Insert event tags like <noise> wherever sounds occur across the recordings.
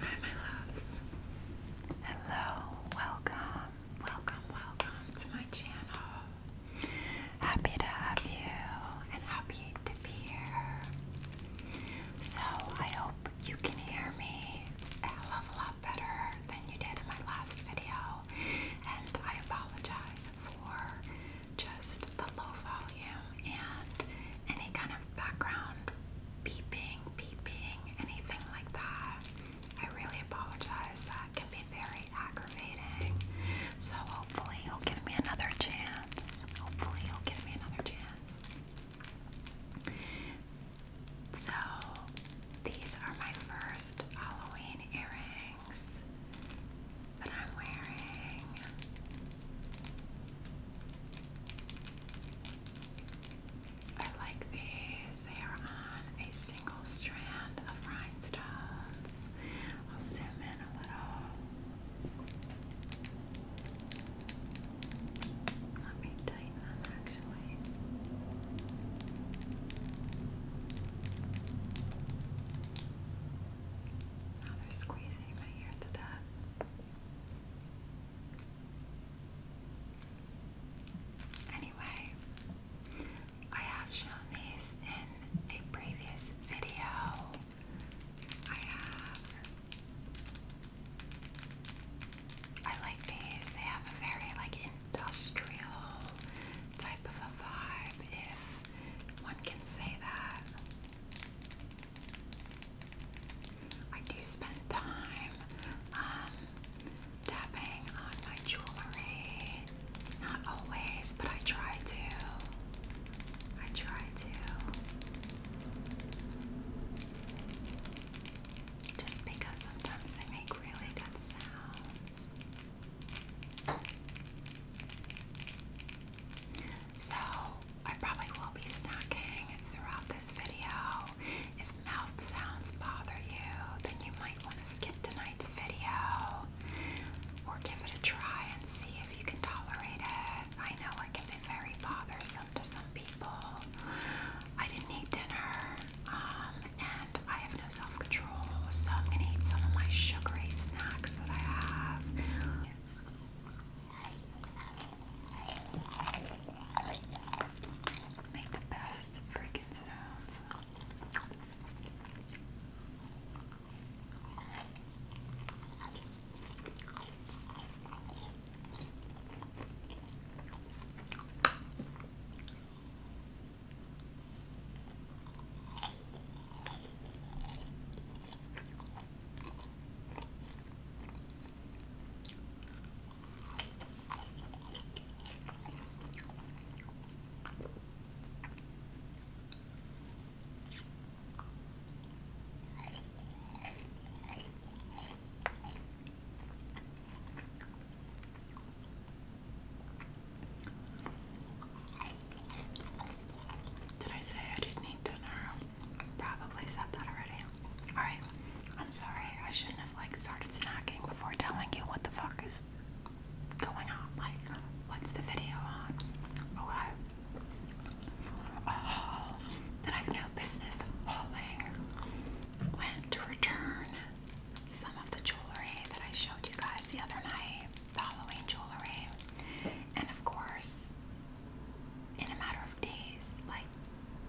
Hi, my loves. Hello, welcome, welcome, welcome to my channel. Happy to have you and happy to be here. So, I hope you can hear me a hell of a lot better than you did in my last video. And I apologize for just the low volume and any kind of background beeping, beeping, anything like that. I really apologize. That can be very aggravating. So hopefully you'll give me another chance. Hopefully you'll give me another chance. So these are my first Halloween earrings that I'm wearing. I like these. They are on a single strand of rhinestones. I'll zoom in a little. Let me tighten them actually. Now they're squeezing my ear to death. Anyway, I have shown these in a previous video. I have. I like these. They have a very like industrial type of a vibe, if one can say that. I do spend time um, tapping on my jewelry. Not always, but I try to. I try to. Just because sometimes they make really good sounds. So, I probably will be snacking throughout this video. If mouth sounds bother you, then you might want to skip tonight's video or give it a try and see if you can tolerate it. I know it can be very bothersome to some people. I didn't eat dinner um, and I have no self control, so I'm going to eat some of my sugary snacks that I have. Make the best freaking sounds. Did I say I didn't eat dinner? Probably said that already. Alright. I'm sorry, I shouldn't have like started snacking before telling you what the fuck is going on. Like, what's the video on? Oh, oh that I've no business hauling. Went to return some of the jewelry that I showed you guys the other night, Halloween jewelry. And of course, in a matter of days, like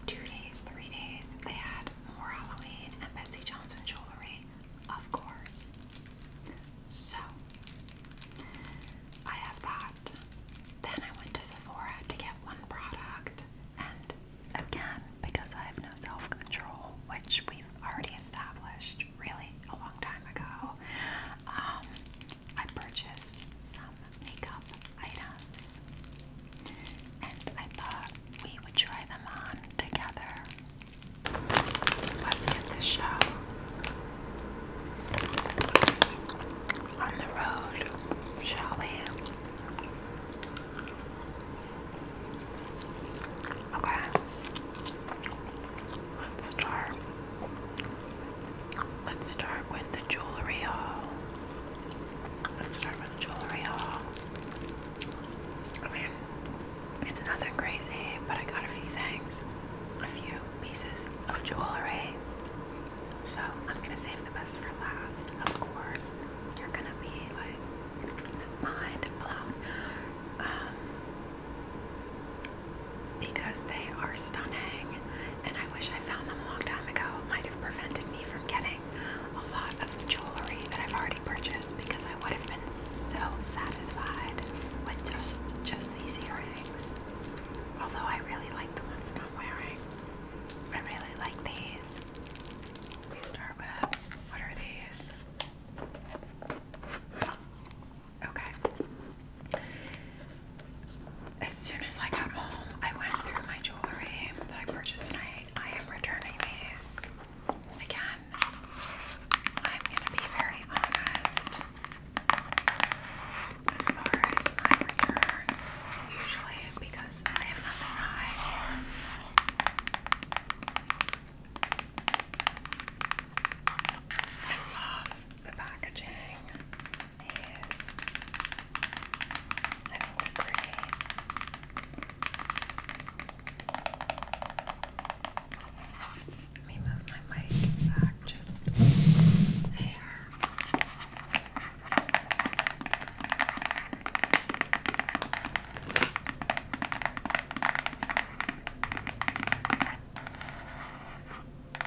two days, three days, they had more Halloween and Betsy Johnson jewelry, of course. So, I have that. Then I went to Sephora to get one product, and again, because I have no self control, which we've already established really a long time ago, um, I purchased some makeup items, and I thought we would try them on together. Let's get the show on the road, shall we? Okay, let's start. Let's start with the jewelry hall. Let's start with the jewelry haul. I mean, it's nothing crazy, but I got a few things, a few pieces of jewelry. So I'm gonna save the best for last. Of course, you're gonna be like mind blown. Um, because they are stunning and I wish I found them a long time ago. It might have prevented me from getting a lot of jewelry that I've already purchased because I would have been so satisfied with just just these earrings. Although I really like the ones I'm wearing. I really like these. We start with what are these? Okay, as soon as I got home, I went through my jewelry that I purchased tonight. I am returning these. Again, I'm going to be very honest. As far as my returns, usually because I have nothing to hide the packaging is, I think, they're Let me move my mic back just there. Back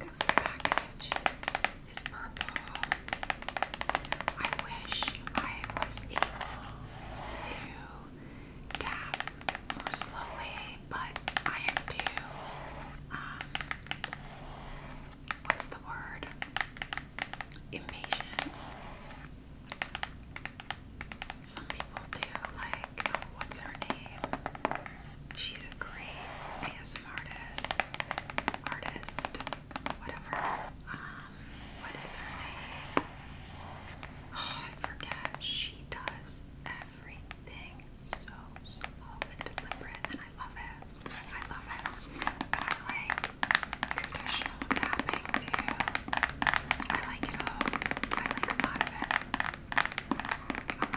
of the package is purple. I wish I was able to tap more slowly, but I am too What's the word? Impatient. Some people do, like, what's her name? She's a great ASM artist. Artist. Whatever. Um, what is her name? Oh, I forget. She does everything so slow and deliberate, and I love it. I love it. I like traditional tapping too. I like it all. I like a lot of it. A lot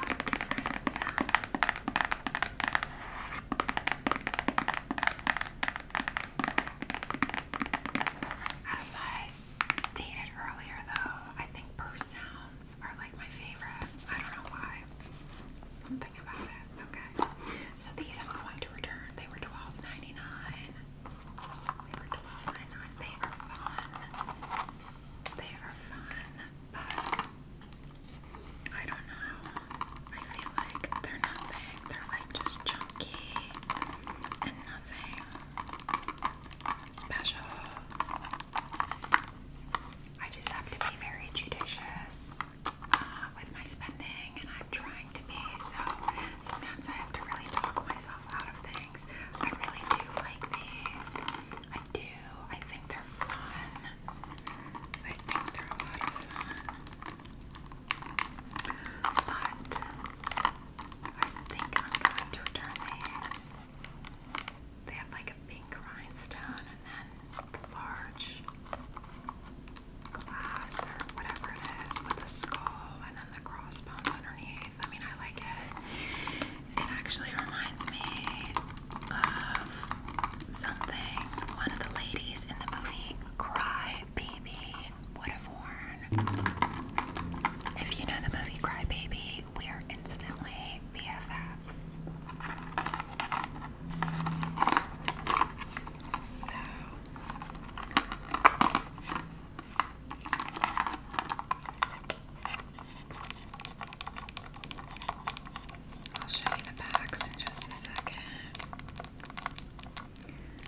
of different sounds. As earlier, though, I think per sound are like my favorite. I don't know why. Something about it. Okay. So these I'm going to return. They were 12 They were 12 They are fun. They are fun. But I don't know. I feel like they're nothing. They're like just chunky and nothing special. I just have to be very judicious uh, with my spending, and I'm trying to be. So sometimes I have to really talk myself out of things. I really do like these. I do. I think they're fun. I think they're a lot of fun. But I think I'm going to return these. They have like a pink rhinestone and then large glass or whatever it is with a skull and then the crossbones underneath. I mean, I like it. It actually reminds me of something one of the ladies in the movie Cry Baby would have worn. If you know the movie Cry Baby, we are instantly BFFs. So I'll show you the box in just a second.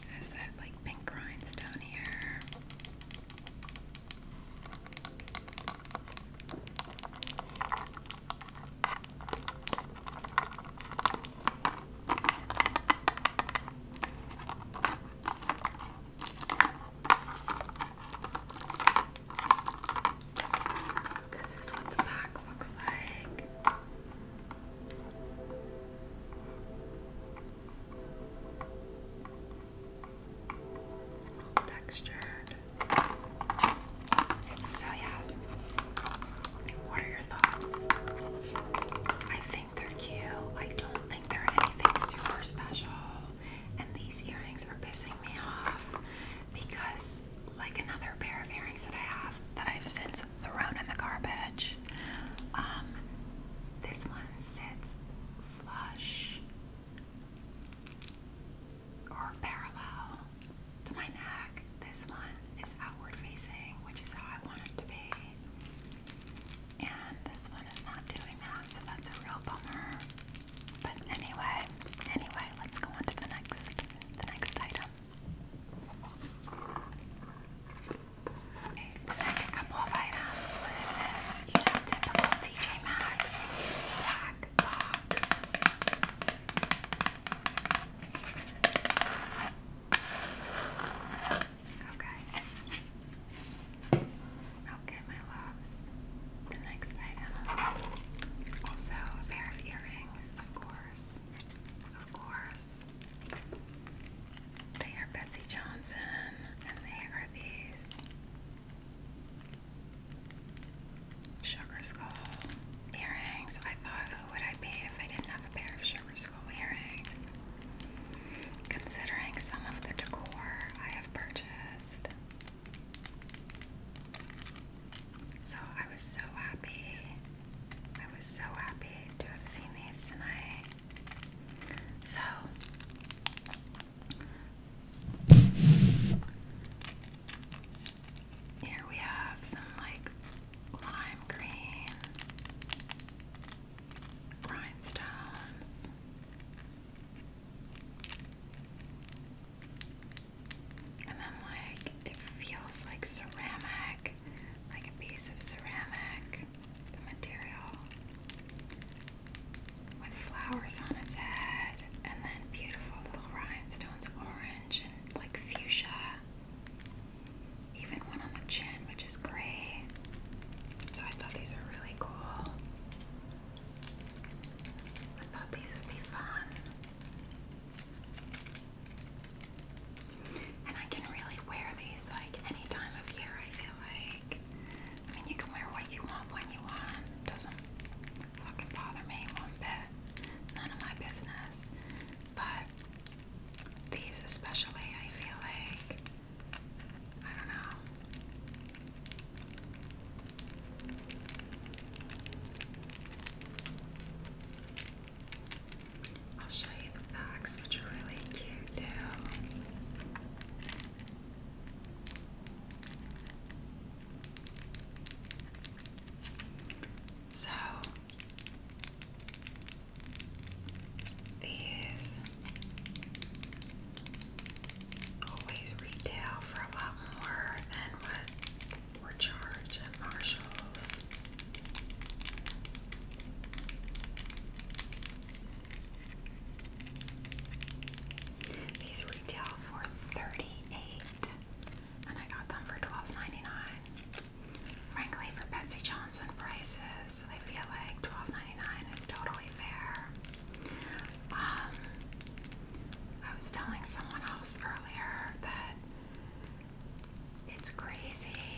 There's that like pink rhinestone here. This is what the back looks like. Texture. So yeah, what are your thoughts? I think they're cute. I don't think they're anything super special. And these earrings are pissing me off because, like another pair of earrings that I have that I've since thrown in the garbage, um, this one sits flush or parallel to my neck. This one is outward facing, which is how I want it to be. And this one is not doing that, so that's a real bummer. But anyway, anyway, let's go on to the next next item. Okay, the next couple of items, what it is, typical TJ Maxx black Okay. Okay, my loves. The next item. Also a pair of earrings, of course. Of course. They are Betsy Johnson, and they are these Sugar skull earrings. I thought, who would I be if I didn't have a pair of sugar skull earrings? Considering some of the decor I have purchased. So I was so happy. I was so happy to have seen these tonight. So here we have some like lime green rhinestones. And then like it feels like ceramic, like a piece of ceramic, the material with flowers on its head and then beautiful little rhinestones, orange and like fuchsia. Even one on the chin, which is gray. So I thought these are really cool. I thought these would be fun. And I can really wear these like any time of year, I feel like. I mean, you can wear what you want when you want doesn't fucking bother me one bit. None of my business. But these especially, I feel like I don't know. I'll show you the backs, which are really cute too. So these always retail for a lot more than what we're charged at Marshall's. These retail for thirty-eight and I got them for 12 Frankly, for Betsy Johnson prices, I feel like twelve ninety nine is totally fair. Um, I was telling someone else earlier that it's crazy,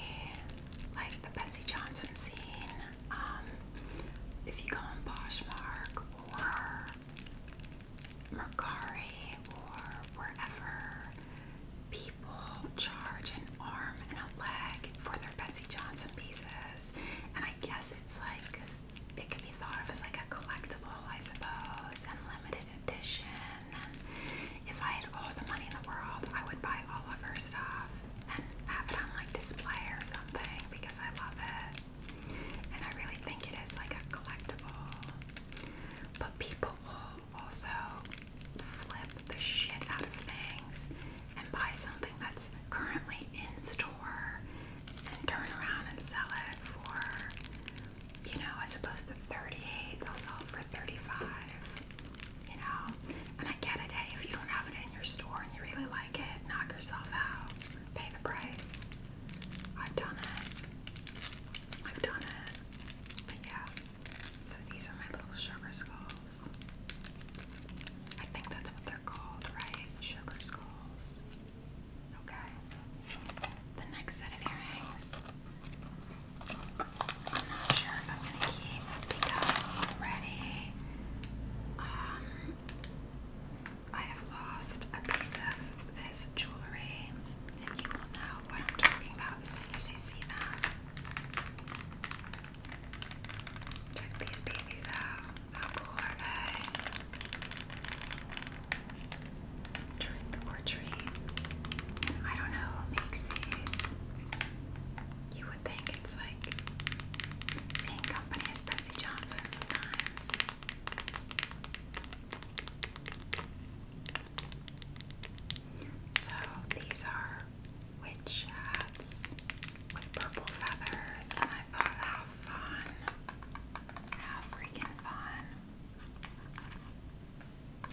like the Betsy Johnson scene. Um, if you go on Poshmark or Mercari or wherever people charge an arm and a leg for their Betsy Johnson pieces. And I guess it's like, it could be thought of as like a collectible, I suppose, and limited edition. if I had all the money in the world, I would buy all of her stuff and have it like display or something because I love it. And I really think it is like a collectible. But people will also flip the shit out of things and buy something that's currently in store and turn around and sell it for, you know, as opposed to 38, they'll sell it for 35, you know? And I get it, hey, if you don't have it in your store and you really like it, knock yourself out, pay the price. I've done it. I've done it. But yeah. So these are my little sugar skulls. I think that's what they're called, right? Sugar skulls. Okay. The next set of earrings. I'm not sure if I'm gonna keep because already I have lost a piece of this jewelry, and you will know what I'm talking about as soon as you see them. Check these babies out. How cool are they? Trick or treat. I don't know who makes these. You would think it's like same company as Betsy Johnson sometimes. So these are witch hats with purple feathers, and I thought, how fun! How freaking fun!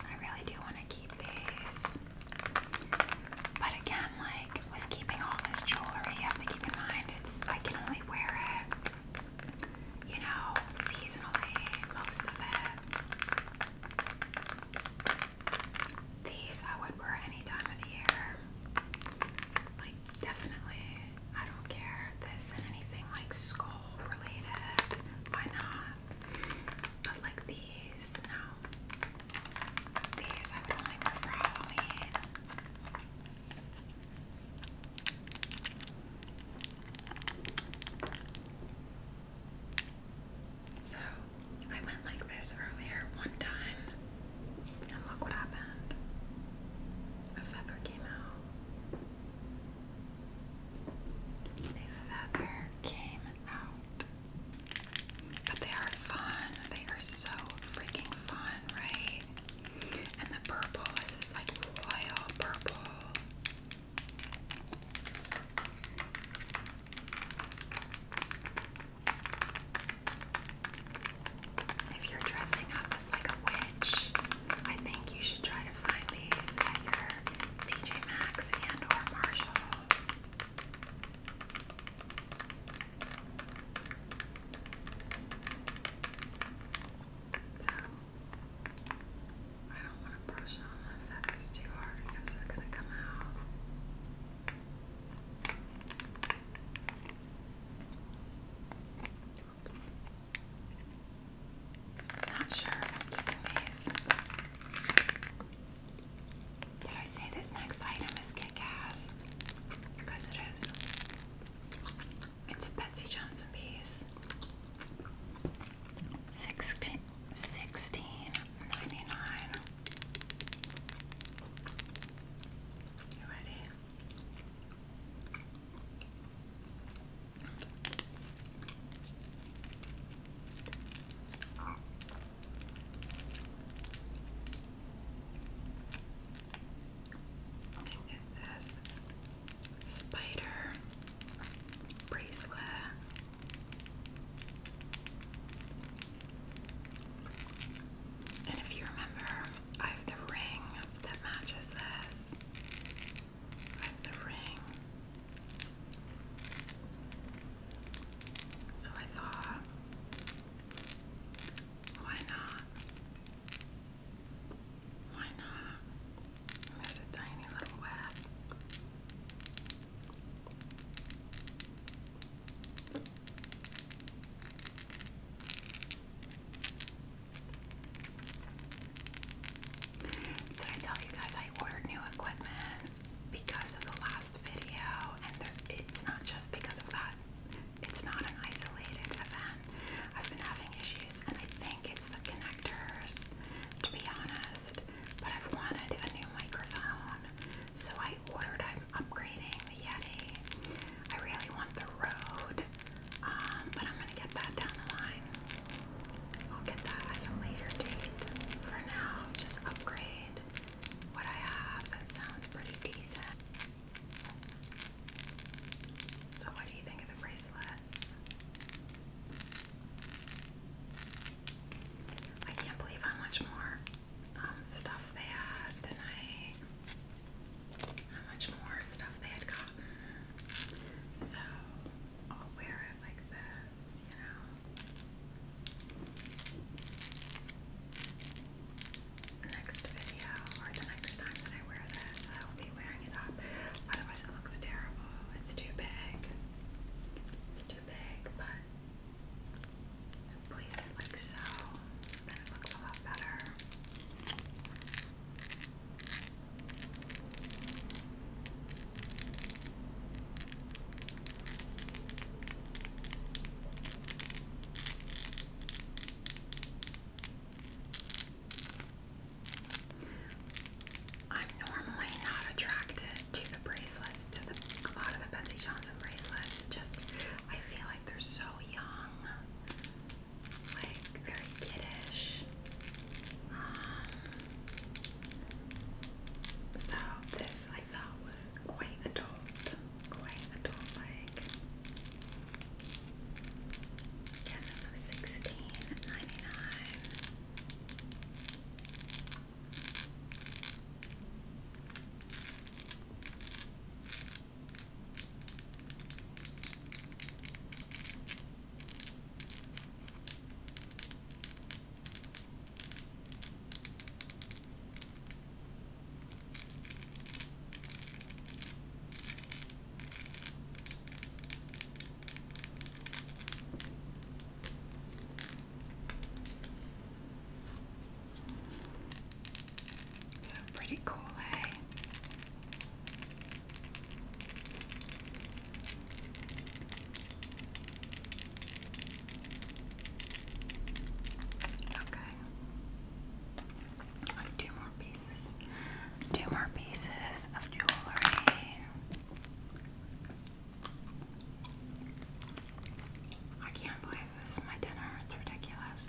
I really do want to keep these. But again, like with keeping all this jewelry, you have to keep in mind it's I can only wear it you know, seasonally, most of it. These I would wear any time of the year. Like, definitely. I don't care. This and anything like skull related. Why not? But like these, no. These I would only wear for Halloween. So I went like this earlier one time, and look what happened. A feather came out. A feather came out. But they are fun. They are so freaking fun, right? And the purple is this like royal purple. If you're dressing up as like a witch, I think you should try to find these at your TJ Maxx and or Marshalls. So I don't want to brush on my feathers too hard because they're going to come out. not sure Did I say this next item is kick ass? Because it is. It's a Betsy Johnson piece. Sixteen sixteen ninety nine. You ready? What is this? spider bracelet. And if you remember, I have the ring that matches this. I have the ring. So I thought, why not? Why not? There's a tiny little web. Did I tell you guys I ordered new equipment because of the last video? And it's not just because of that it's not an isolated event. I've been having issues, and I think it's the connectors, to be honest. But I've wanted a new microphone, so I ordered. I'm upgrading the Yeti. I really want the Rode, um, but I'm gonna get that down the line. I'll get that at a later date. For now, just upgrade what I have. That sounds pretty decent. So, what do you think of the bracelet? I can't believe how much more um, stuff they had tonight. How much more stuff they had gotten. So, I'll wear it like this, you know next video or the next time that I wear this, I will be wearing it up. Otherwise, it looks terrible. It's too big. It's too big, but please it like so. Then it looks a lot better. I'm normally not attracted to the bracelets, to a lot of the Betsy Johnson bracelets. Just, I feel like they're so young, like very kiddish. Um, so this I felt was quite adult, quite adult-like. Yeah, this so pretty cool, eh? Okay. i more pieces. Two more pieces of jewelry. I can't believe this is my dinner. It's ridiculous.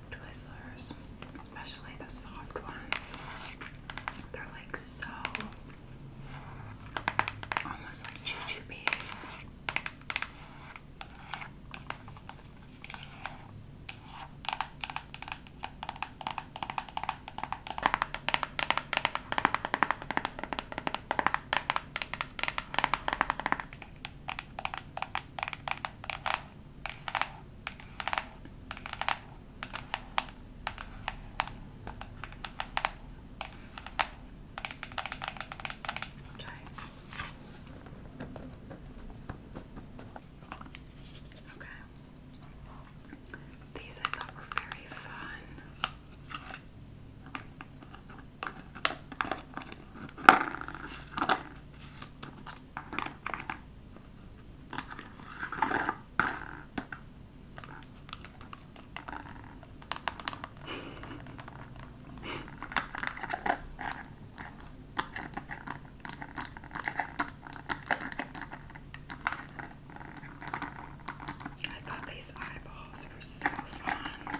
Twizzlers, especially the soft ones. They're like so almost like choo bees. Okay. Okay. These I thought were very fun. I thought these eyeballs were so fun.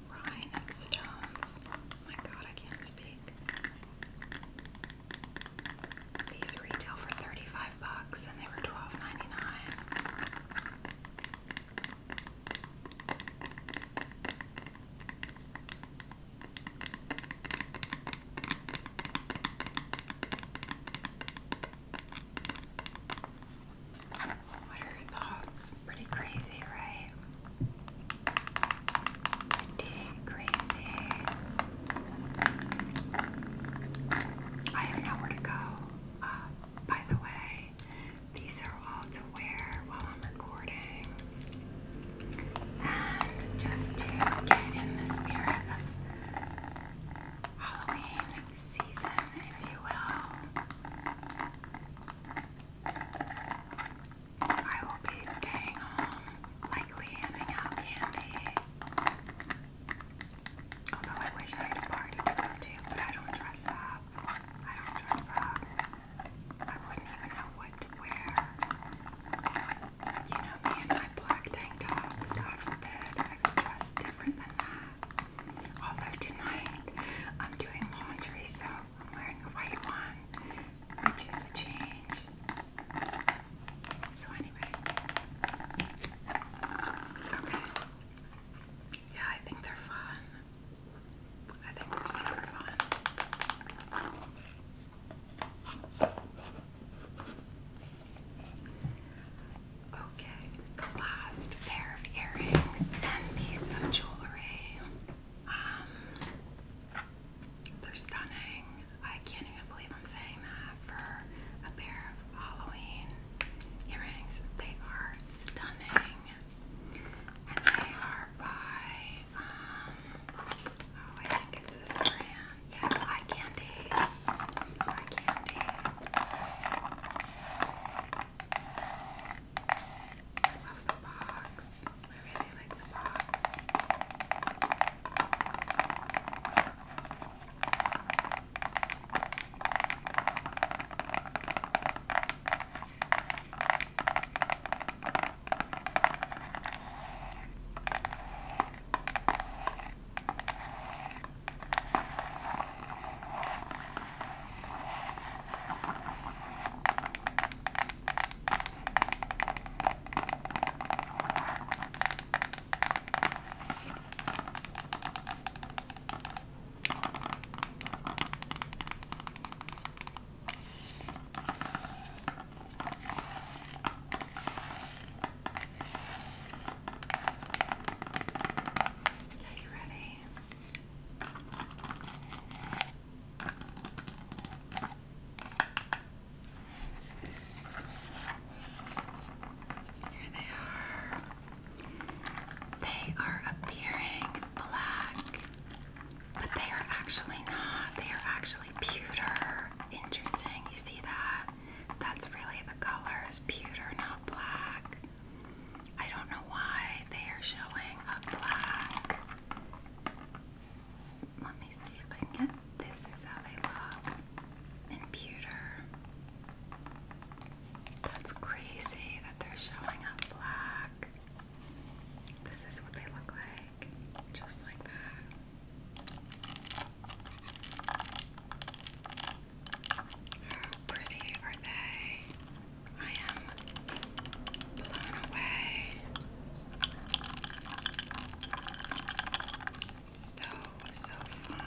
rhinestones. Oh my god, I can't speak. These retail for 35 bucks and they were $12.99. Pretty crazy, right? Pretty crazy. I have nowhere to go. Uh, by the way, these are all to wear while I'm recording. And just to get in the spirit of Halloween season, if you will. I will be staying home, likely handing out candy. Although I wish I had a party to go to, but I don't dress up. I don't dress up. I wouldn't even know what to wear. You know me and my black tank tops, God forbid, I have dress different than that. Although tonight I'm doing laundry, so I'm wearing a white one, which is a change. So anyway, okay. Yeah, I think they're fun. I think they're super fun. Okay the last pair of earrings and piece of jewelry. Um, they're stunning. I can't even believe I'm saying that for a pair of Halloween earrings. They are stunning. And they are by, um, oh, I think it's this brand. Yeah, Eye Candy. Eye Candy. Love the box. I really like the box. I Okay, you ready? Here they are. They are appearing black, but they are actually not. They are actually pewter. Interesting. You see that? That's really the color is pewter, not black. I don't know why they are showing a black. Let me see if I can get this is how they look in pewter. That's crazy that they're showing up black. This is what they look like, just like that. How pretty are they? I am blown away. So, so fun.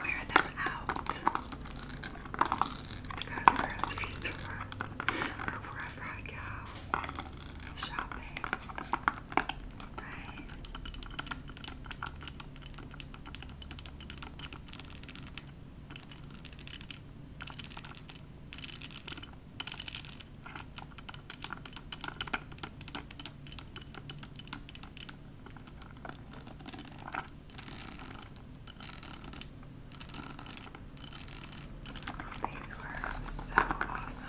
wear them out go to the grocery store or wherever I go shopping. Right? These were so awesome.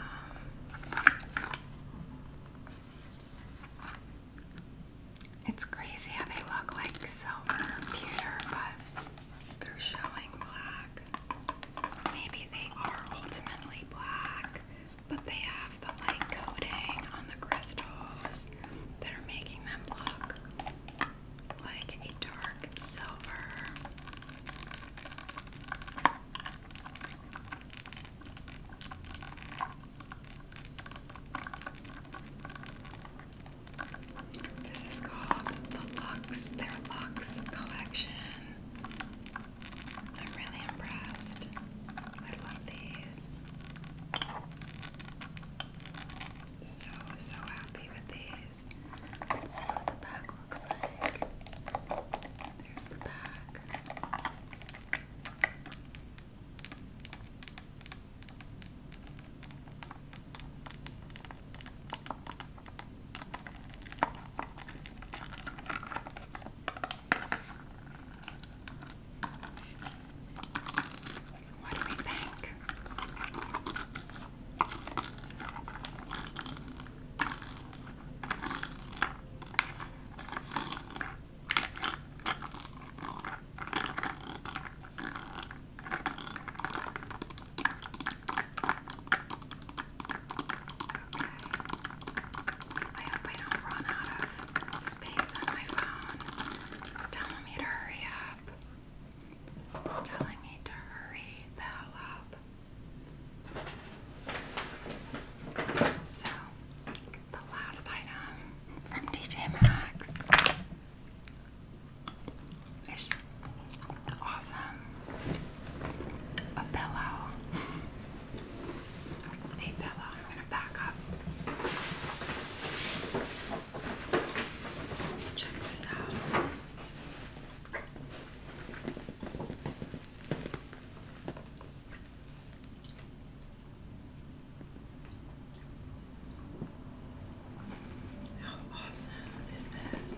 It's crazy how they look like silver pewter, but they're showing black. Maybe they are ultimately black, but they have the light coating on the crystals that are making them look like a dark silver. This is called the Lux, their Lux collection. I'm really impressed. I love these. So, so happy with these. see what the back looks like. There's the back. What do we think? Okay. I hope I don't run out of space on my phone. It's telling me to hurry up. It's telling me to hurry the hell up. So, the last item from DJ Maxx is awesome. A pillow. Hey Bella, I'm gonna back up. Check this out. How awesome is this?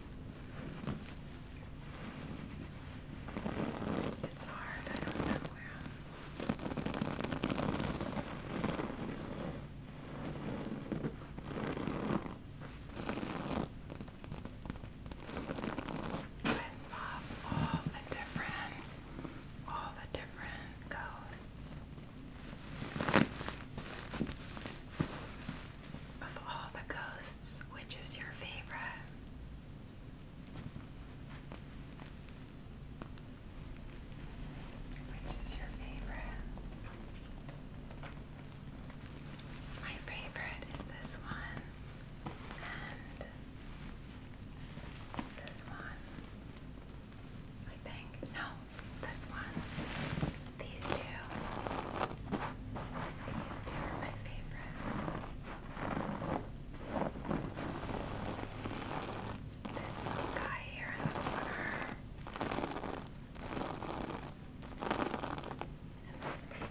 It's hard, I don't know where I'm all the different, all the different ghosts. Of all the ghosts, which is your favorite? Which is your favorite? My favorite is this one and this one. I think. No, this one, these two, these two are my favorite. This guy here in the corner. And this baby.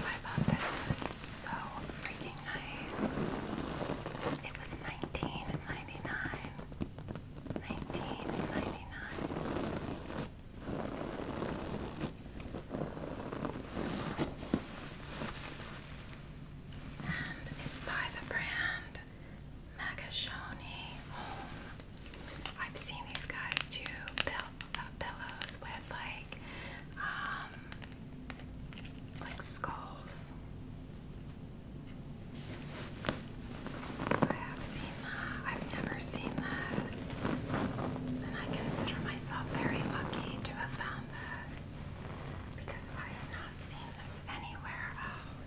I thought this was so freaking nice. It was nineteen ninety nine. And it's by the brand Magashoni I've seen these guys do pill uh, pillows with like um like skulls. I have seen that. I've never seen this. And I consider myself very lucky to have found this because I have not seen this anywhere else.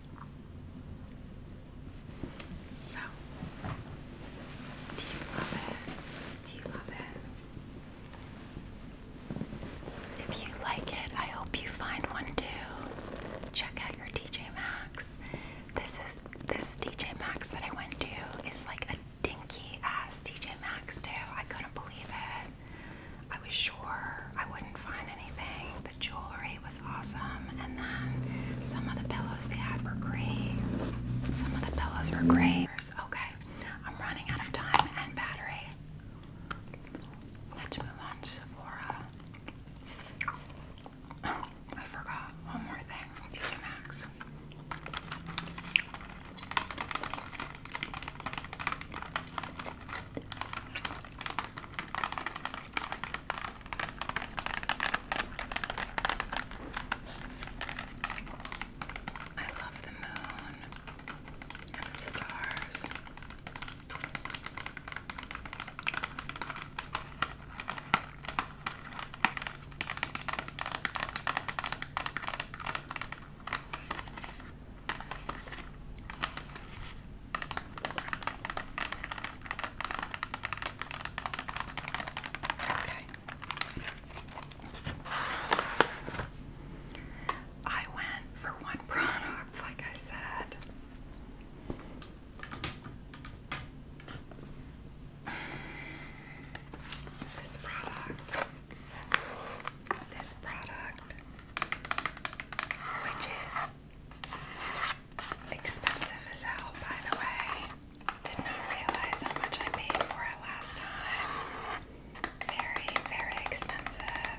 So, do you love it? Do you love it? If you like it, I hope you find one too. Check out your DJ Max. This is this DJ Max that I went to is like a dinky ass DJ Max too. I couldn't believe it. I was sure I wouldn't find anything. The jewelry was awesome, and then some of the pillows they had were great. Some of the pillows were great. Okay, I'm running out of time and battery. Let's move on to Sephora. I forgot one more thing. TJ Maxx. I love the moon and stars. Okay. I went for one <laughs> product, like I said. This product, this product, which is Expensive as hell, by the way. Did not realize how much I paid for it last time. Very, very expensive.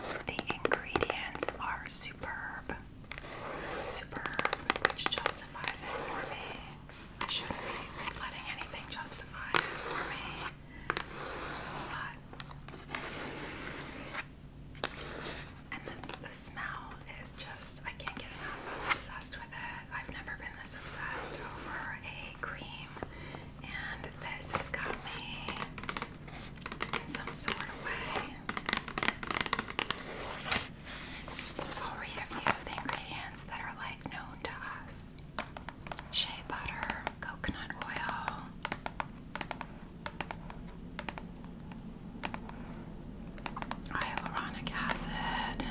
But the ingredients are superb superb, which justifies it for me. I shouldn't be letting anything justify for me. and the, the smell is just I can't get enough. I'm obsessed with it. I've never been this obsessed over a cream, and this has got me in some sort of way. I'll read a few of the ingredients that are like known to us shea butter, coconut oil. Hyaluronic acid,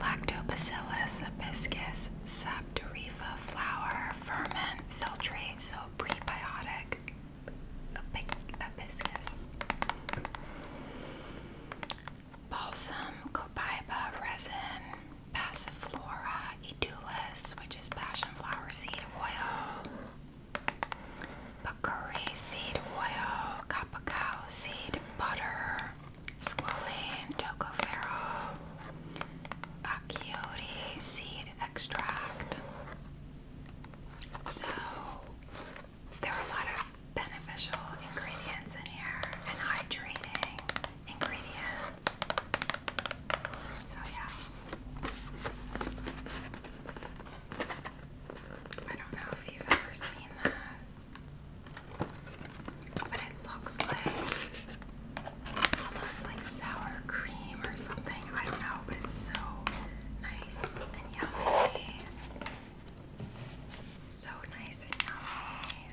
lactobacillus, hibiscus, saptorifa flower, ferment, filtrate, so prebiotic, balsam, copaiba, resin, passiflora, edulis, which is passionflower seed oil, bakuri seed oil, copacao seed butter, squalane, tocopherol, achiote seed extract. So there are a lot of beneficial ingredients in here and hydrating ingredients. So, yeah. I don't know if you've ever seen this, but it looks like almost like sour cream or something. I don't know, but it's so nice yummy. So nice and yummy.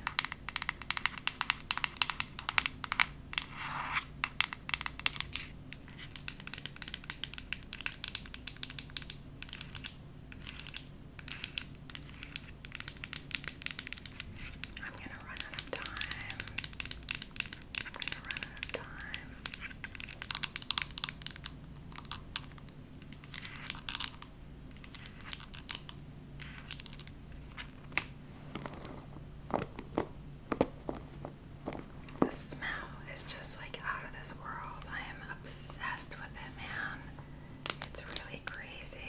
I'm going to run out of time. I'm going to run out of time. The smell is just like out of this world. I am obsessed with it, man. It's really crazy.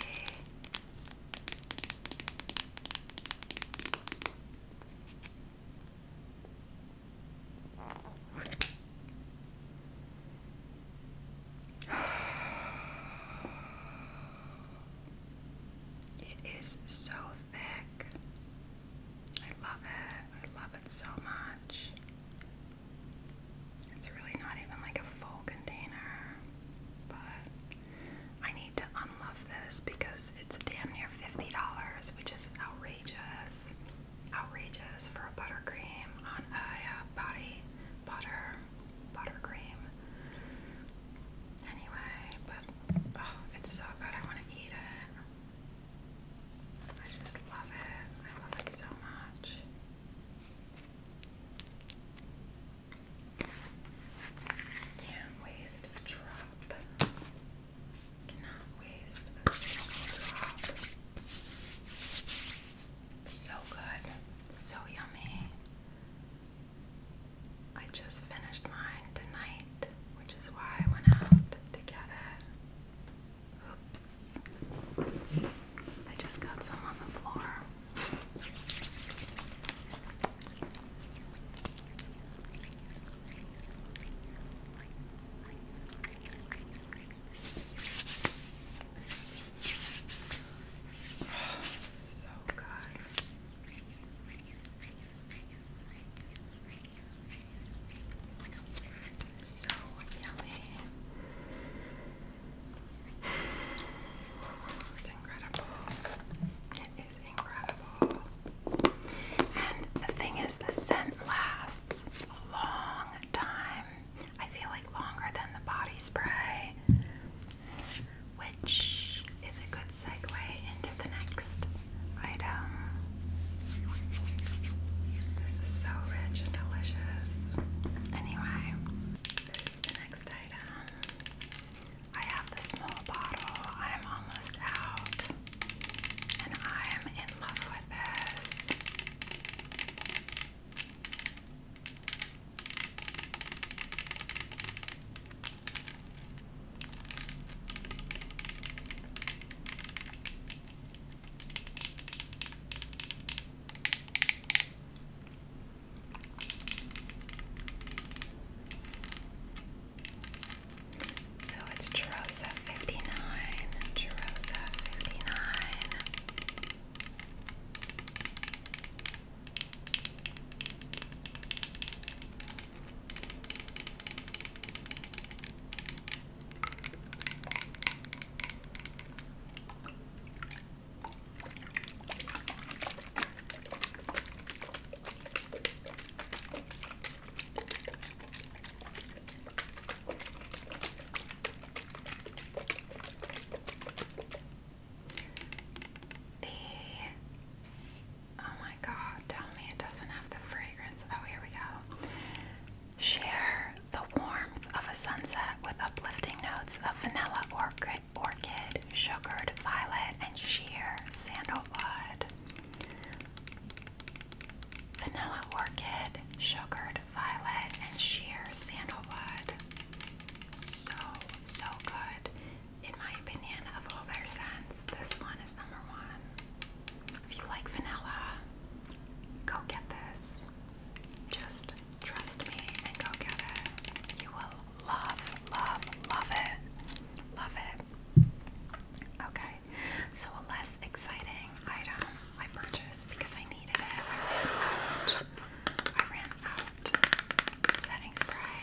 <sighs> It is so thick. I love it. I love it so much. It's really not even like a full container, but I need to unlove this because it's damn near $50, which is outrageous outrageous for a buttercream on a uh, body butter buttercream. Anyway, but oh, it's so good. I want to eat it. I just love it. I love it so much. Can't waste a drop. Cannot waste a single drop. So good, so yummy. I just finished mine tonight, which is why I went out to get it. Oops. I just got some on the floor so <sighs> good. So yummy. <sighs> It's incredible. It is incredible the thing is, the scent lasts a long time. I feel like longer than the body spray, which is a good segue into the next item. This is so rich and delicious. Anyway, this is the next item. I have the small bottle. I'm almost out love. And I am in love with this. So it's Jerosa 59, Jerosa 59. The oh my god, tell me it doesn't have the fragrance. Oh, here we go. Share the warmth of a sunset with uplifting notes of vanilla orchid, orchid sugared violet, and sheer sandalwood vanilla orchid, sugared violet, and sheer sandalwood. So, so good. In my opinion, of all their scents, this one is number one. If you like vanilla, go get this. Just trust me and go get it. You will love, love, love it. Love it. Okay, so a less exciting item I purchased because I needed it. I ran out. I ran out. Setting spray,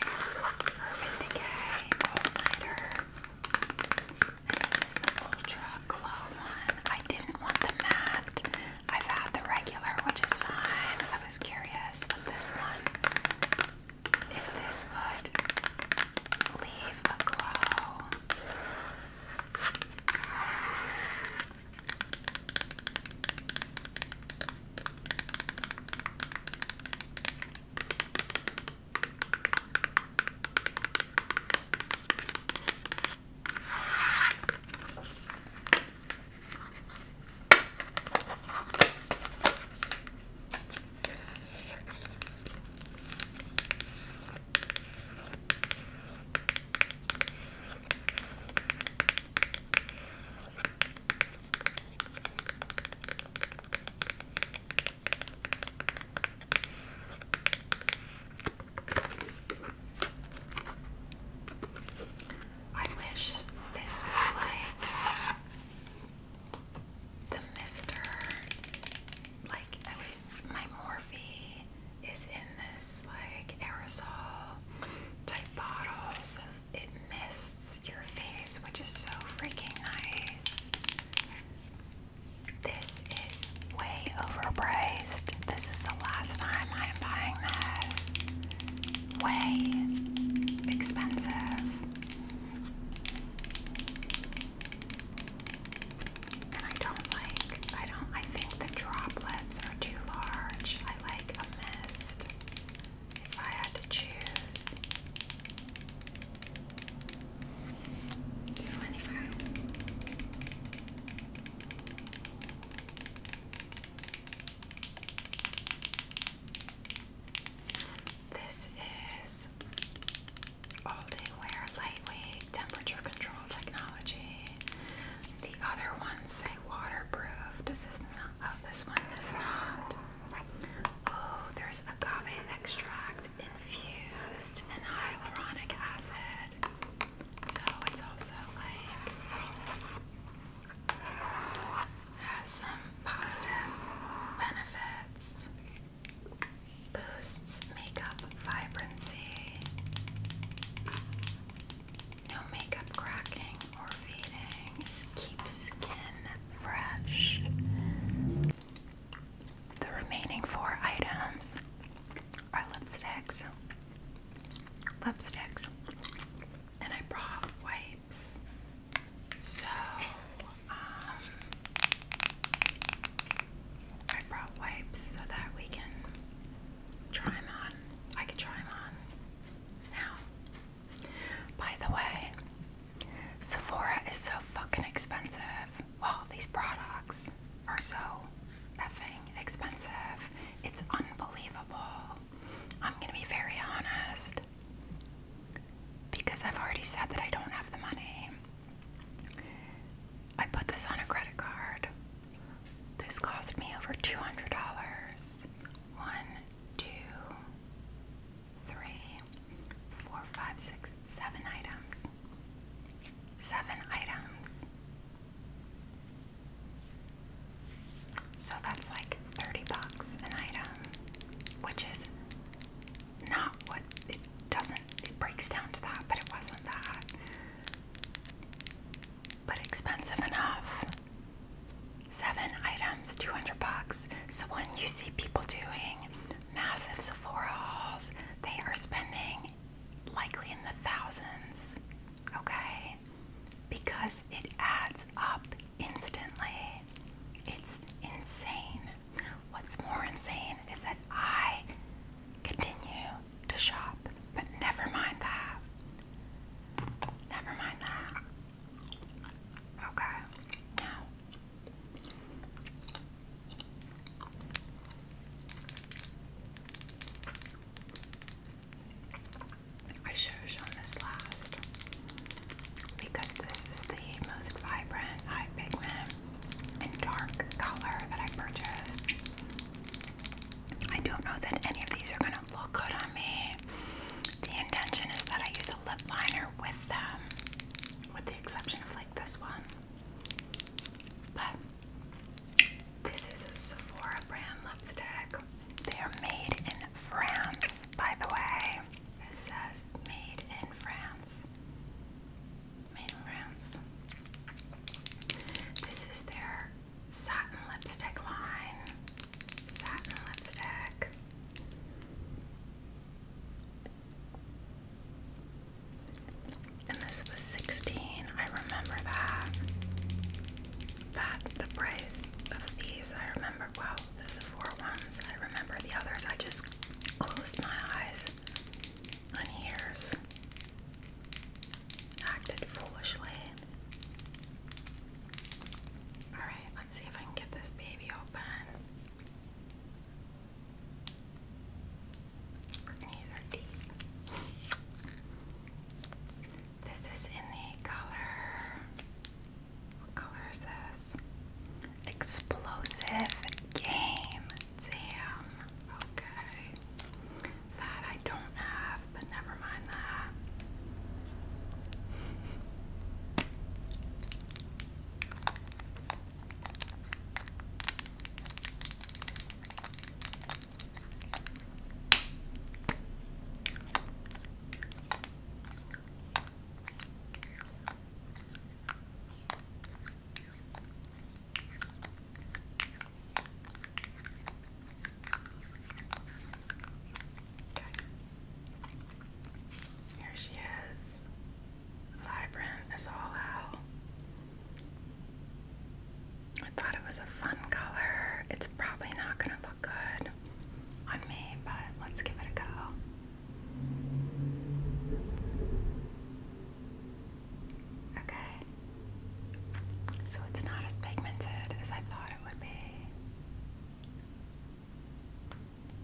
Urban Decay, All Nighter. And this is the Ultra Glow one. I didn't want the matte. I've had the regular, which is fine. I was curious with this one. If this would leave a glow. I wish this was like the Mr like my Morphe is in this like aerosol type bottle, so it mists your face, which is so freaking nice. This is way overpriced. This is the last time I am buying this. Way expensive. And I don't like, I don't, I think the droplets are too large. I like a mist if I had to choose. So, anyway. This is all day wear, lightweight, temperature control technology. The other ones say waterproof. Does this not? Oh, this one is not. Oh, there's agave extract infused and hyaluronic acid. So it's also like has some positive benefits. Boosts makeup vibrancy. No makeup cracking or fading. Keeps skin fresh. The remaining four items are lipsticks. Lipsticks. And I brought wipes. So I brought wipes so that we can try them on. I could try them on now. By the way, Sephora is so fucking expensive. Well, these products are so effing expensive. It's unbelievable. I'm gonna be very honest because I've already said that I don't have the money. I put this on a credit card. This cost me over $200. One, two, three, four, five, six, seven items. Seven items. So that's like 30 bucks an item, which is not what it doesn't, it breaks down to that, but it wasn't that. But expensive enough. Seven items, 200 bucks. So when you see people doing massive Sephora hauls, they are spending likely in the thousands, okay? Because it adds up instantly. It's insane. What's more insane is that I continue to shop, but never mind that. Never mind that. Okay, now. I should have shown this last because this is the most vibrant eye pigment and dark color that I purchased. I don't know that any of these are going to look good on me. The intention is that I use a lip liner with them, with the exception of like this one. But this is a Sephora brand lipstick. They are made in France, by the way. This says made in France main rounds. This is their satin lipstick line. Satin lipstick. And this was 16. I remember that. That the price of these, I remember well, the Sephora ones. I remember the others. I just closed my eyes on years acted foolishly. Alright, let's see if I can get this baby open. We're gonna use our teeth. This is in the color. What color is this? Explosive game. Damn. Okay. That I don't have, but never mind that. Okay. Here she is, vibrant as all hell. I thought it was a fun color. It's probably not going to look good on me, but let's give it a go. Okay. So it's not as pigmented as I thought it would be.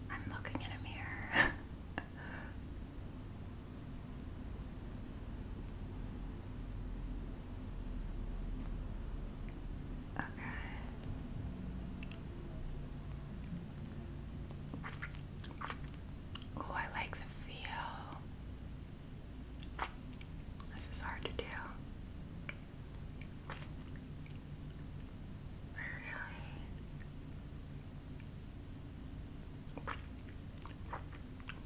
I'm looking in a mirror. <laughs> okay. Oh, I like the feel. This is hard to do. Really?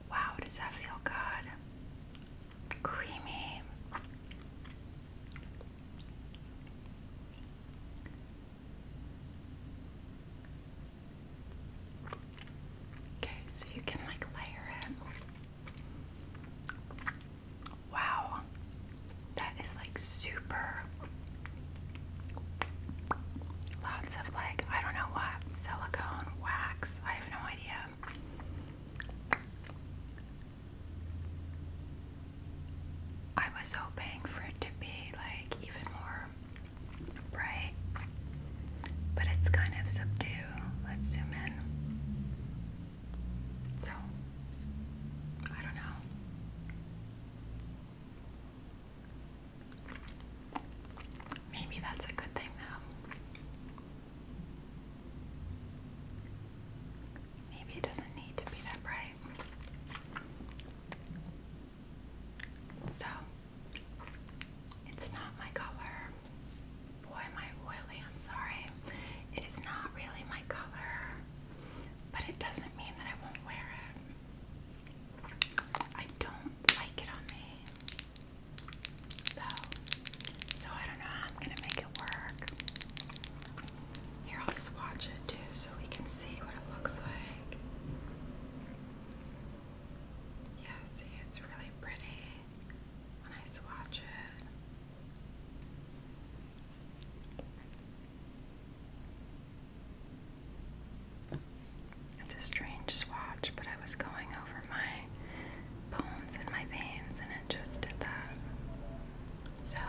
Wow, does that feel good? Creamy. Okay, so you can like layer it. Wow, that is like super. Lots of like, I don't know what, silicone, wax, I have no idea. I was hoping for it to be like even more bright, but it's kind of subdued. Let's zoom in. So, I don't know. Maybe that's a good thing, though. Maybe it doesn't need to be that bright. So, it's not my color. Boy, am oily, I'm sorry. It is not really my color, but it doesn't mean that I won't wear it. I don't like it on me, though, so I don't know how I'm gonna make it work. Here, I'll swatch it too so we can see what it looks like. Yeah, see, it's really pretty when I swatch it. It's a strange swatch, but I was going over my bones and my veins, and it just did that. So,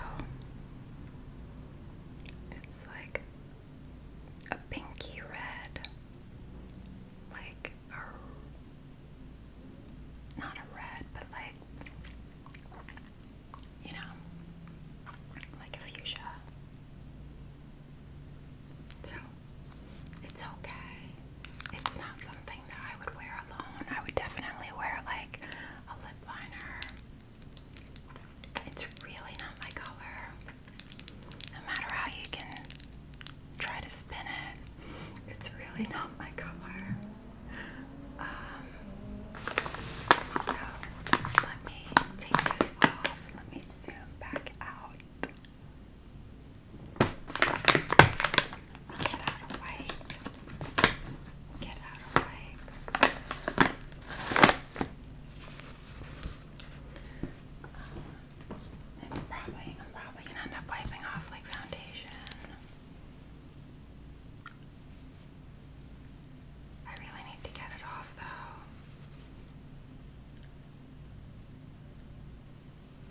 it's like a pinky red, like a not a red, but like you know, like a fuchsia. So it's okay. It's not something that I would wear alone. I would definitely wear like a lip liner it's really not my color. No matter how you can try to spin it, it's really not my color. Um, so let me take this off. Let me zoom back out. Get out of wipe. Get out of wipe it's probably, I'm probably gonna end up wiping off like foundation. I really need to get it off though.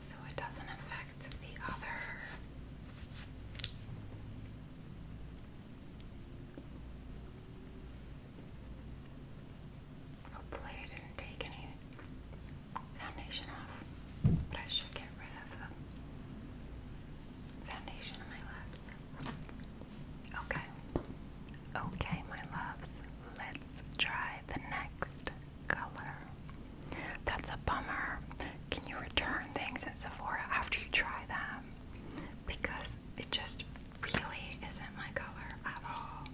So it doesn't affect the other. Hopefully I didn't take any foundation off, but I should get rid of them. Foundation my lips. Okay. Okay, my loves. Let's try the next color. That's a bummer. Can you return things at Sephora after you try them? Because it just really isn't my color at all.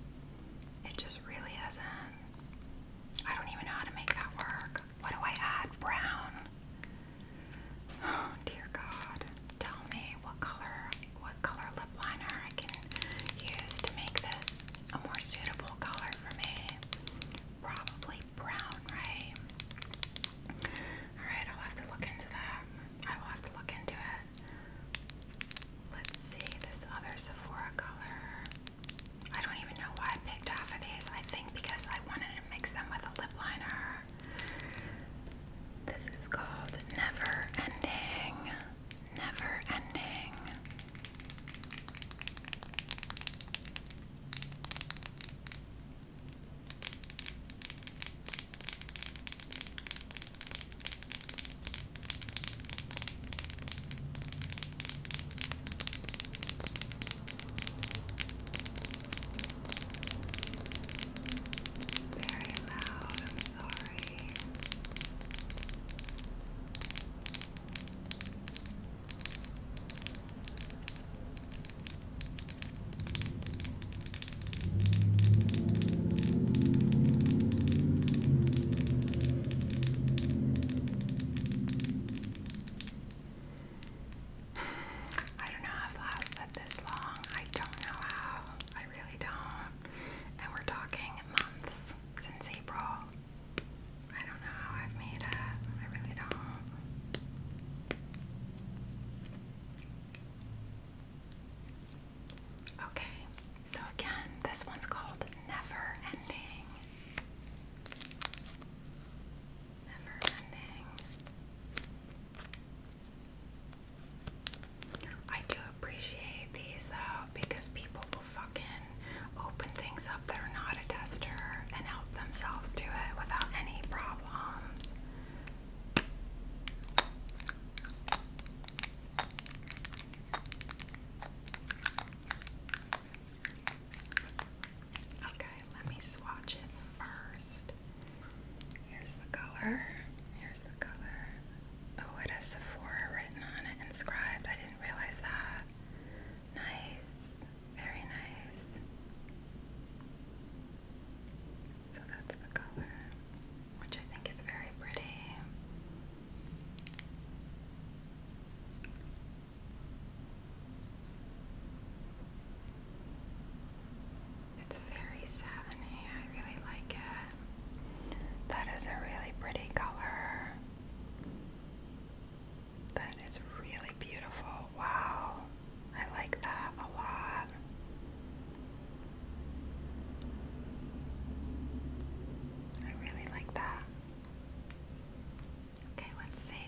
It just really isn't. I don't even know how to make that work. What do I add? Brown. Oh <sighs> dear God. Tell me what color what color lip liner I can use to make this a more suitable color for me. Probably brown, right? Alright, I'll have to look into that. I will have to look into it. Let's see this other Sephora color. I don't even know why I picked off of these. I think because I wanted to mix them with a lip liner. This is called Never Ending. Never Ending. Very loud, I'm sorry. I don't know I've said this long. I don't know how. I really don't. And we're talking months since April. I don't know how I've made it. I really don't. Okay, so again, this one's called Never Ending. Never Ending. I do appreciate these though because people fucking open things up that are not a tester and help themselves do it without any problems. Okay, let me swatch it first. Here's the color. Here's the color. Oh, it has Sephora written on it, inscribed. I didn't realize that. Nice. Very nice. So that's the color which I think is very pretty. It's very satiny, I really like it. That is a really pretty color. That is really beautiful. Wow, I like that a lot. I really like that. Okay, let's see.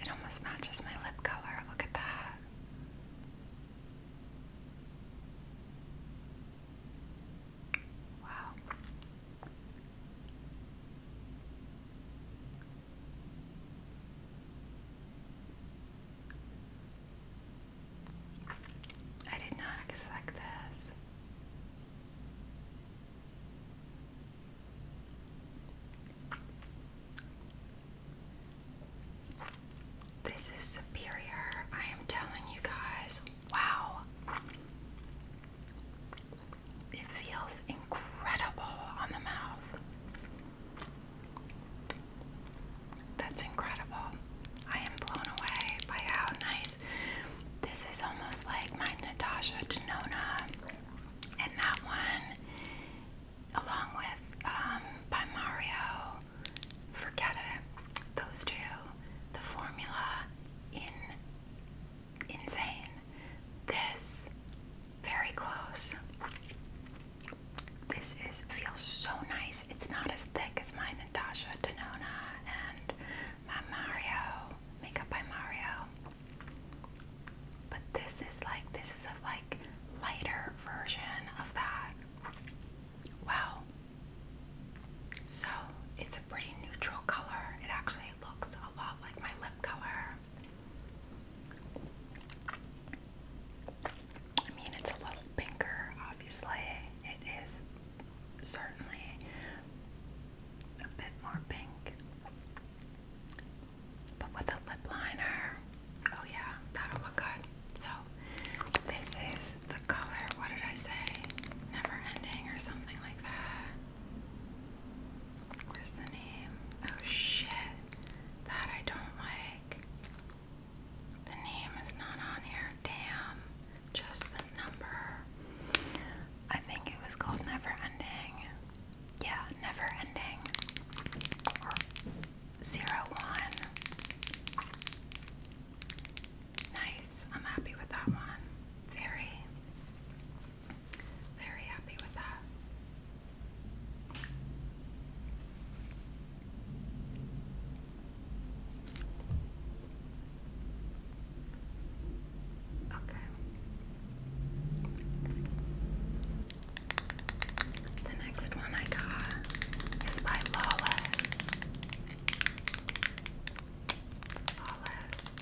It almost matches my lip color. Look at that. Wow. I did not expect this. This is superior. I am telling you guys. Wow. It feels incredible on the mouth. That's incredible. I am blown away by how nice. This is almost like my Natasha Denona, and that one, along with um, by Mario. Forget it. Those two, the formula in insane this. Very close. This is feels so nice. It's not as thick as my Natasha Denona and my Mario makeup by Mario. But this is like this is a like lighter version of that. Wow. So it's a pretty neutral color. It actually looks a lot like my lip color. I mean, it's a little pinker, obviously. It is certainly a bit more pink. But with a lip liner, oh yeah, that'll look good. So, this is the color, what did I say? Never ending or something like that. Where's the name? Oh shit. That I don't like. The name is not on here. Damn. Just the number. I think it was called Never Ending. Yeah, Never Ending. Zero One. Nice. I'm happy with that one. Very. Very happy with that. Okay. The next one I got is by Lawless. Lawless.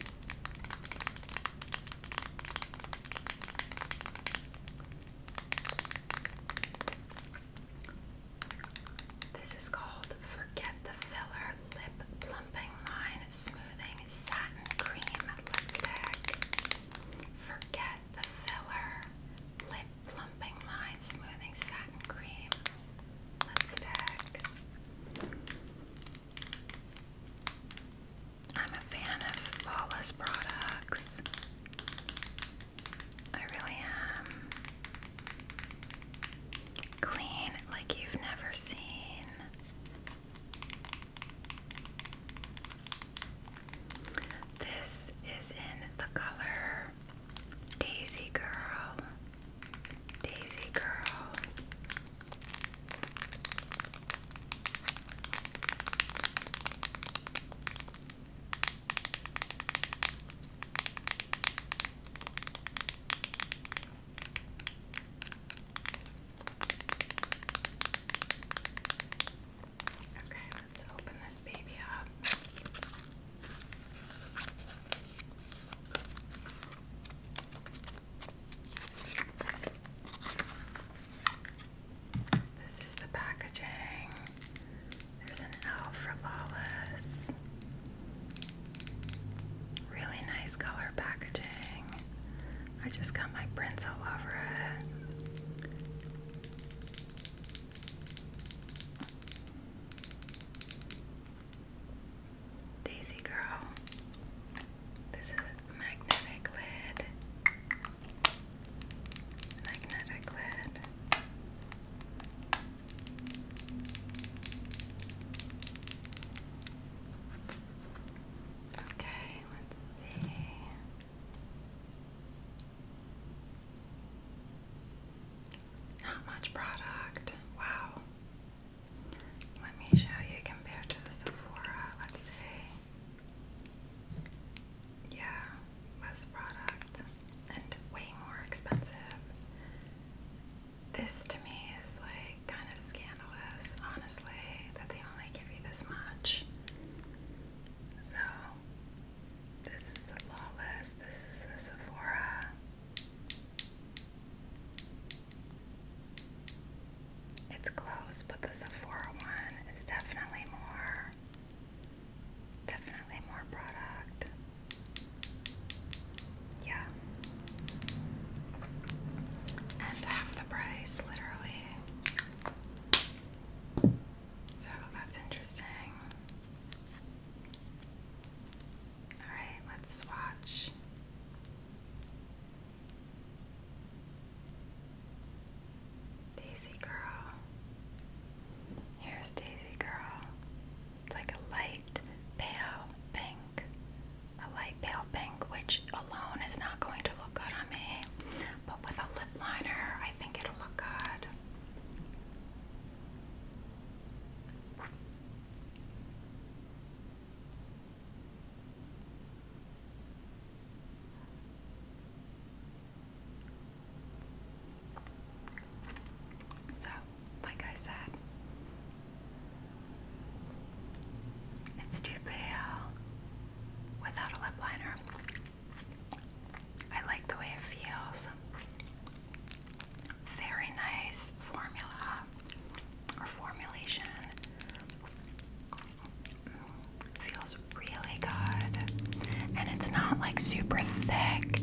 This is called Forget the Filler Lip Plumping Line Smoothing Satin Cream Lipstick. Forget the Filler Lip Plumping Line Smoothing Satin Cream Lipstick. I'm a fan of flawless products. I really am. Clean like you've never seen. This is in the color Daisy Girl. Daisy Girl. Okay, let's open this baby up. This is the packaging. There's an L for Lawless. Really nice color packaging. I just got my prints all over it. Daisy Girl. This is a magnetic lid. Magnetic lid. Okay, let's see. Not much product. Wow. Let me show you compared to Sephora. Let's see. Yeah, less product and way more expensive. This to me is like kind of scandalous, honestly, that they only give you this much. So, this is the lawless. this is the Sephora. It's close, but the Sephora one is definitely more definitely more product. Yeah. And half the price, literally. So that's interesting. Alright, let's swatch. Daisy Girl. Here's Daisy Girl. It's like a light pale pink. A light pale pink, which alone is not going to look good on me, but with a lip liner, I think it'll look good. So, like I said, it's too pale without a lip liner. I like the way it feels. Very nice formula or formulation. Feels really good. And it's not like super thick,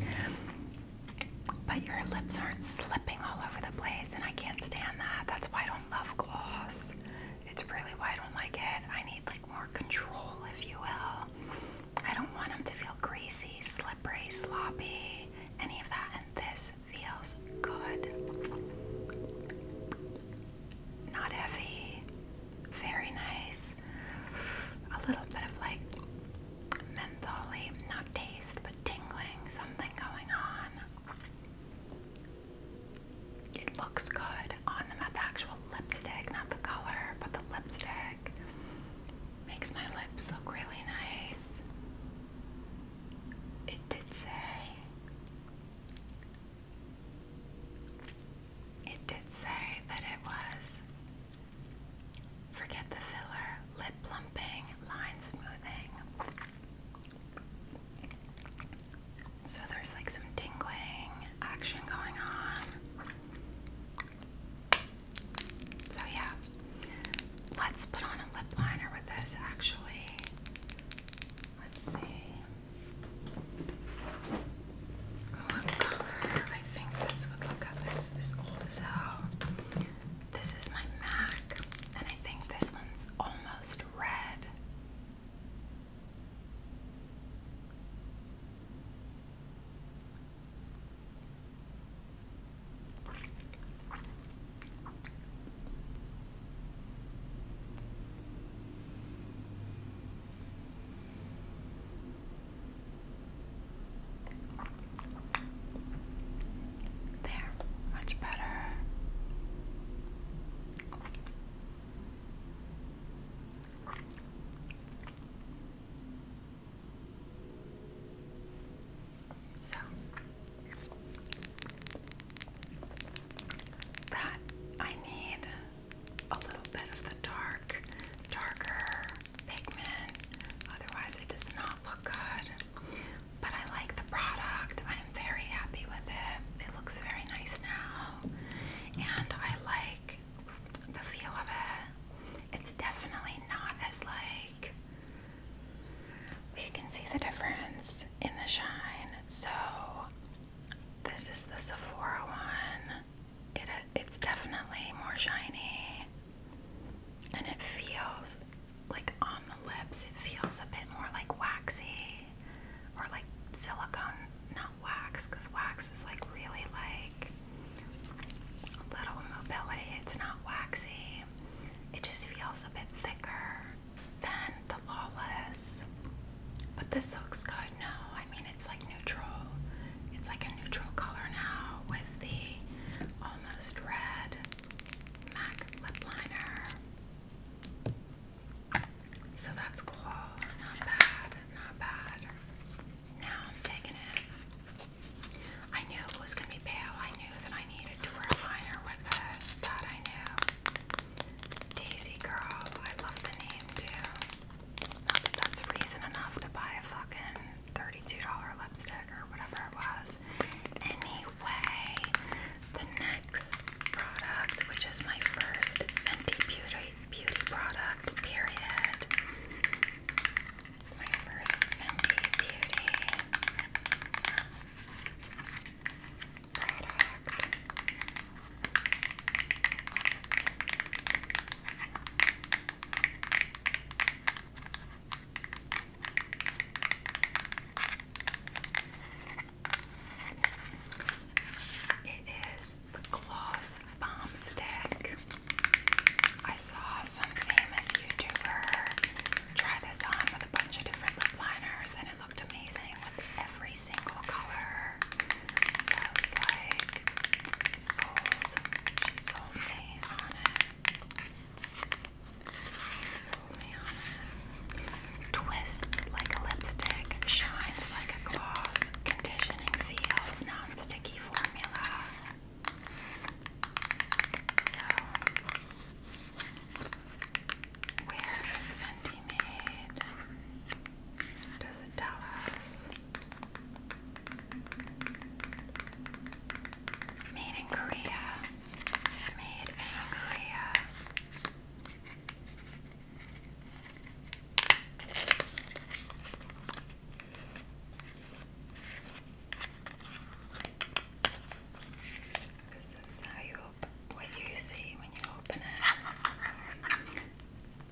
but your lips aren't slipping all over the place, and I can't stand that. That's why I don't love gloss. It's really why I don't like it. I need like more control, if you will. I don't want them to feel greasy, slippery, sloppy, any of that. And this feels good. Not heavy, very nice. A little bit of like mentholy, not taste, but tingling, something going on. It looks good on them at the actual lipstick, not the color, but the lipstick. Makes my lips look really nice. It did say it did say that it was forget the filler, lip plumping, line smoothing. So there's like some tingling action going on. So, yeah, let's put on a lip liner with this actually. Let's see. What color? I think this. Look, look at this. Is old as hell. This is my MAC, and I think this one's almost red. There, much better. So that I need a little bit of the dark, darker pigment, otherwise it does not look good. But I like the product. I am very happy with it. It looks very nice now. And I like the feel of it. It's definitely not as like you can see the difference in the shine. So this is the Sephora one. It it's definitely more shiny, and it feels like on the lips. It feels a bit more like waxy or like silicone, not wax, because wax is like really like a little mobility. It's not waxy. It just feels a bit thicker than the Lawless. But this looks good. No, I mean it's like neutral. It's like a neutral color now with the almost red MAC lip liner. So that's cool. Not bad. Not bad. Now I'm taking it. I knew it was gonna be pale. I knew that I needed to wear liner with it. That I knew. Daisy Girl, I love the name too. Not that that's reason enough to buy a fucking $32 lipstick or whatever it was. Anyway, the next product, which is my first Fenty Beauty beauty product, period. My first Fenty Beauty. It is the Gloss Bomb Stick. I saw some famous YouTuber try this on with a bunch of different lip liners, and it looked amazing with every single color. So like, sold. me on it. sold me on it. Twists like a lipstick, shines like a gloss, conditioning feel, non sticky formula. Where is Fendi made? Does it tell us? Made in Korea. Made in Korea. This is how you what you see when you open it.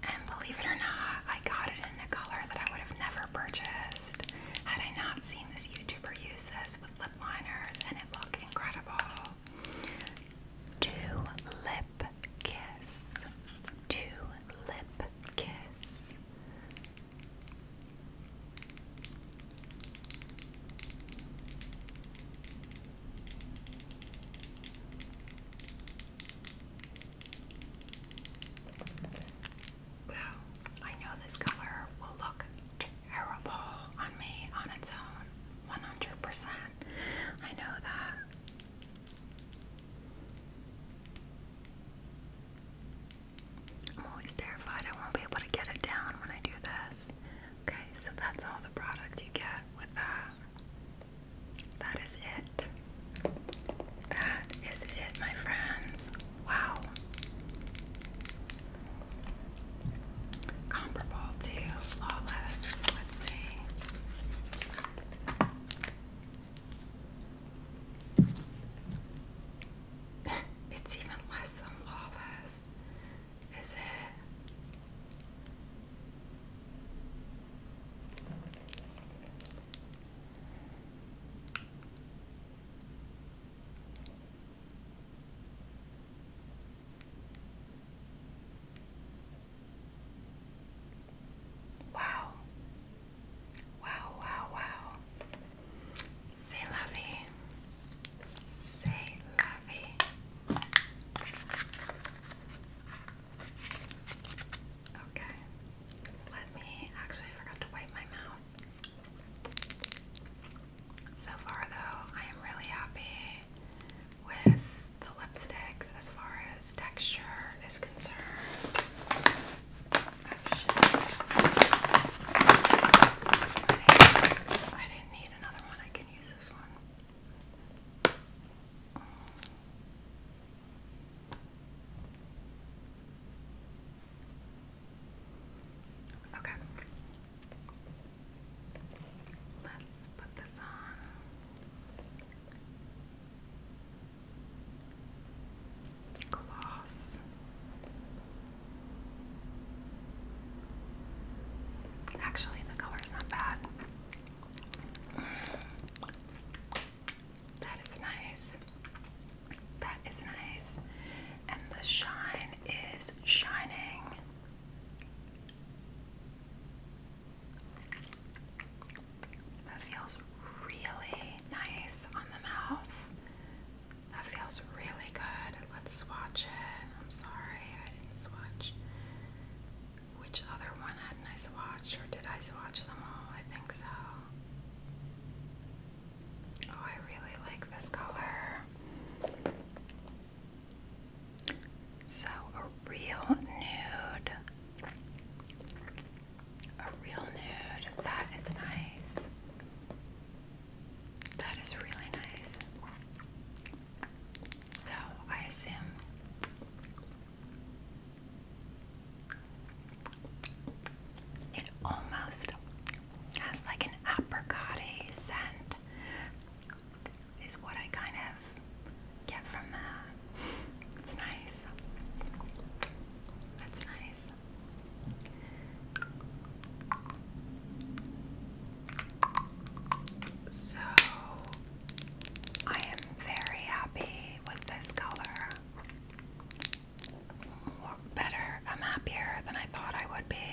And believe it or not, I got it in a color that I would have never purchased had I not seen this YouTuber use this with lip liners, and it looked incredible. Two lip kiss. Two lip kiss. So, I know this color will look terrible on me on its own, 100%. I know that. I'm always terrified I won't be able to get it down when I do this. Okay, so that's all the product you get with that. That is it. That is it, my friends. Wow. Comparable to Lawless. Let's see. <laughs> it's even less than Lawless. Is it? Wow. Wow, wow, wow. C'est la C'est la Okay. Let me actually forgot to wipe my mouth. So far though, I am really happy with the lipsticks as far as texture is concerned. I, didn't, I didn't need another one can use this one. Mm. Okay. Let's put this on. Gloss. Actually, the color is not bad. That is nice. That is nice. And the shine is shining. That feels really nice on the mouth. That feels really good let's swatch it. I'm sorry, I didn't swatch. Which other one hadn't I swatched, or did I swatch them all? I think so. Oh, I really like this color. So, a real nude. A real nude. That is nice. That is really nice. So I assume it almost has like an apricot scent, is what I kind of get from that. It's nice. That's nice. So I am very happy with this color. Better, I'm happier than I thought I would be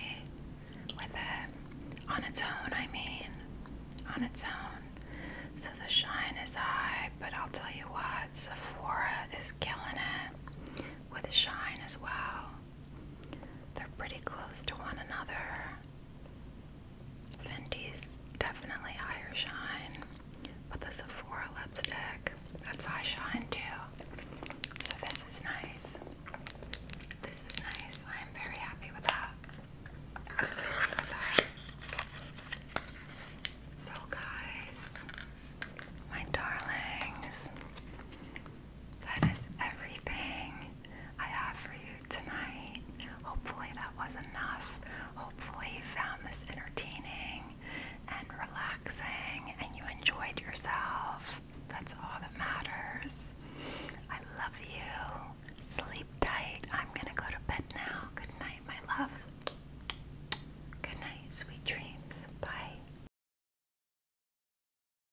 with it. On its own, I mean. On its own. So the shine is high, but I'll tell you what, Sephora is killing it with the shine as well. They're pretty close to one another. Fenty's definitely higher shine, but the Sephora lipstick, that's high shine too. So this is nice. This is nice. I am very happy with that. with that. So guys, my darlings, that is everything I have for you tonight. Hopefully, that was enough. Hopefully, you found this entertaining and relaxing and you enjoyed yourself. That's all that matters. I love you. Sleep tight. I'm going to go to bed now. Good night, my love. Good night. Sweet dreams. Bye.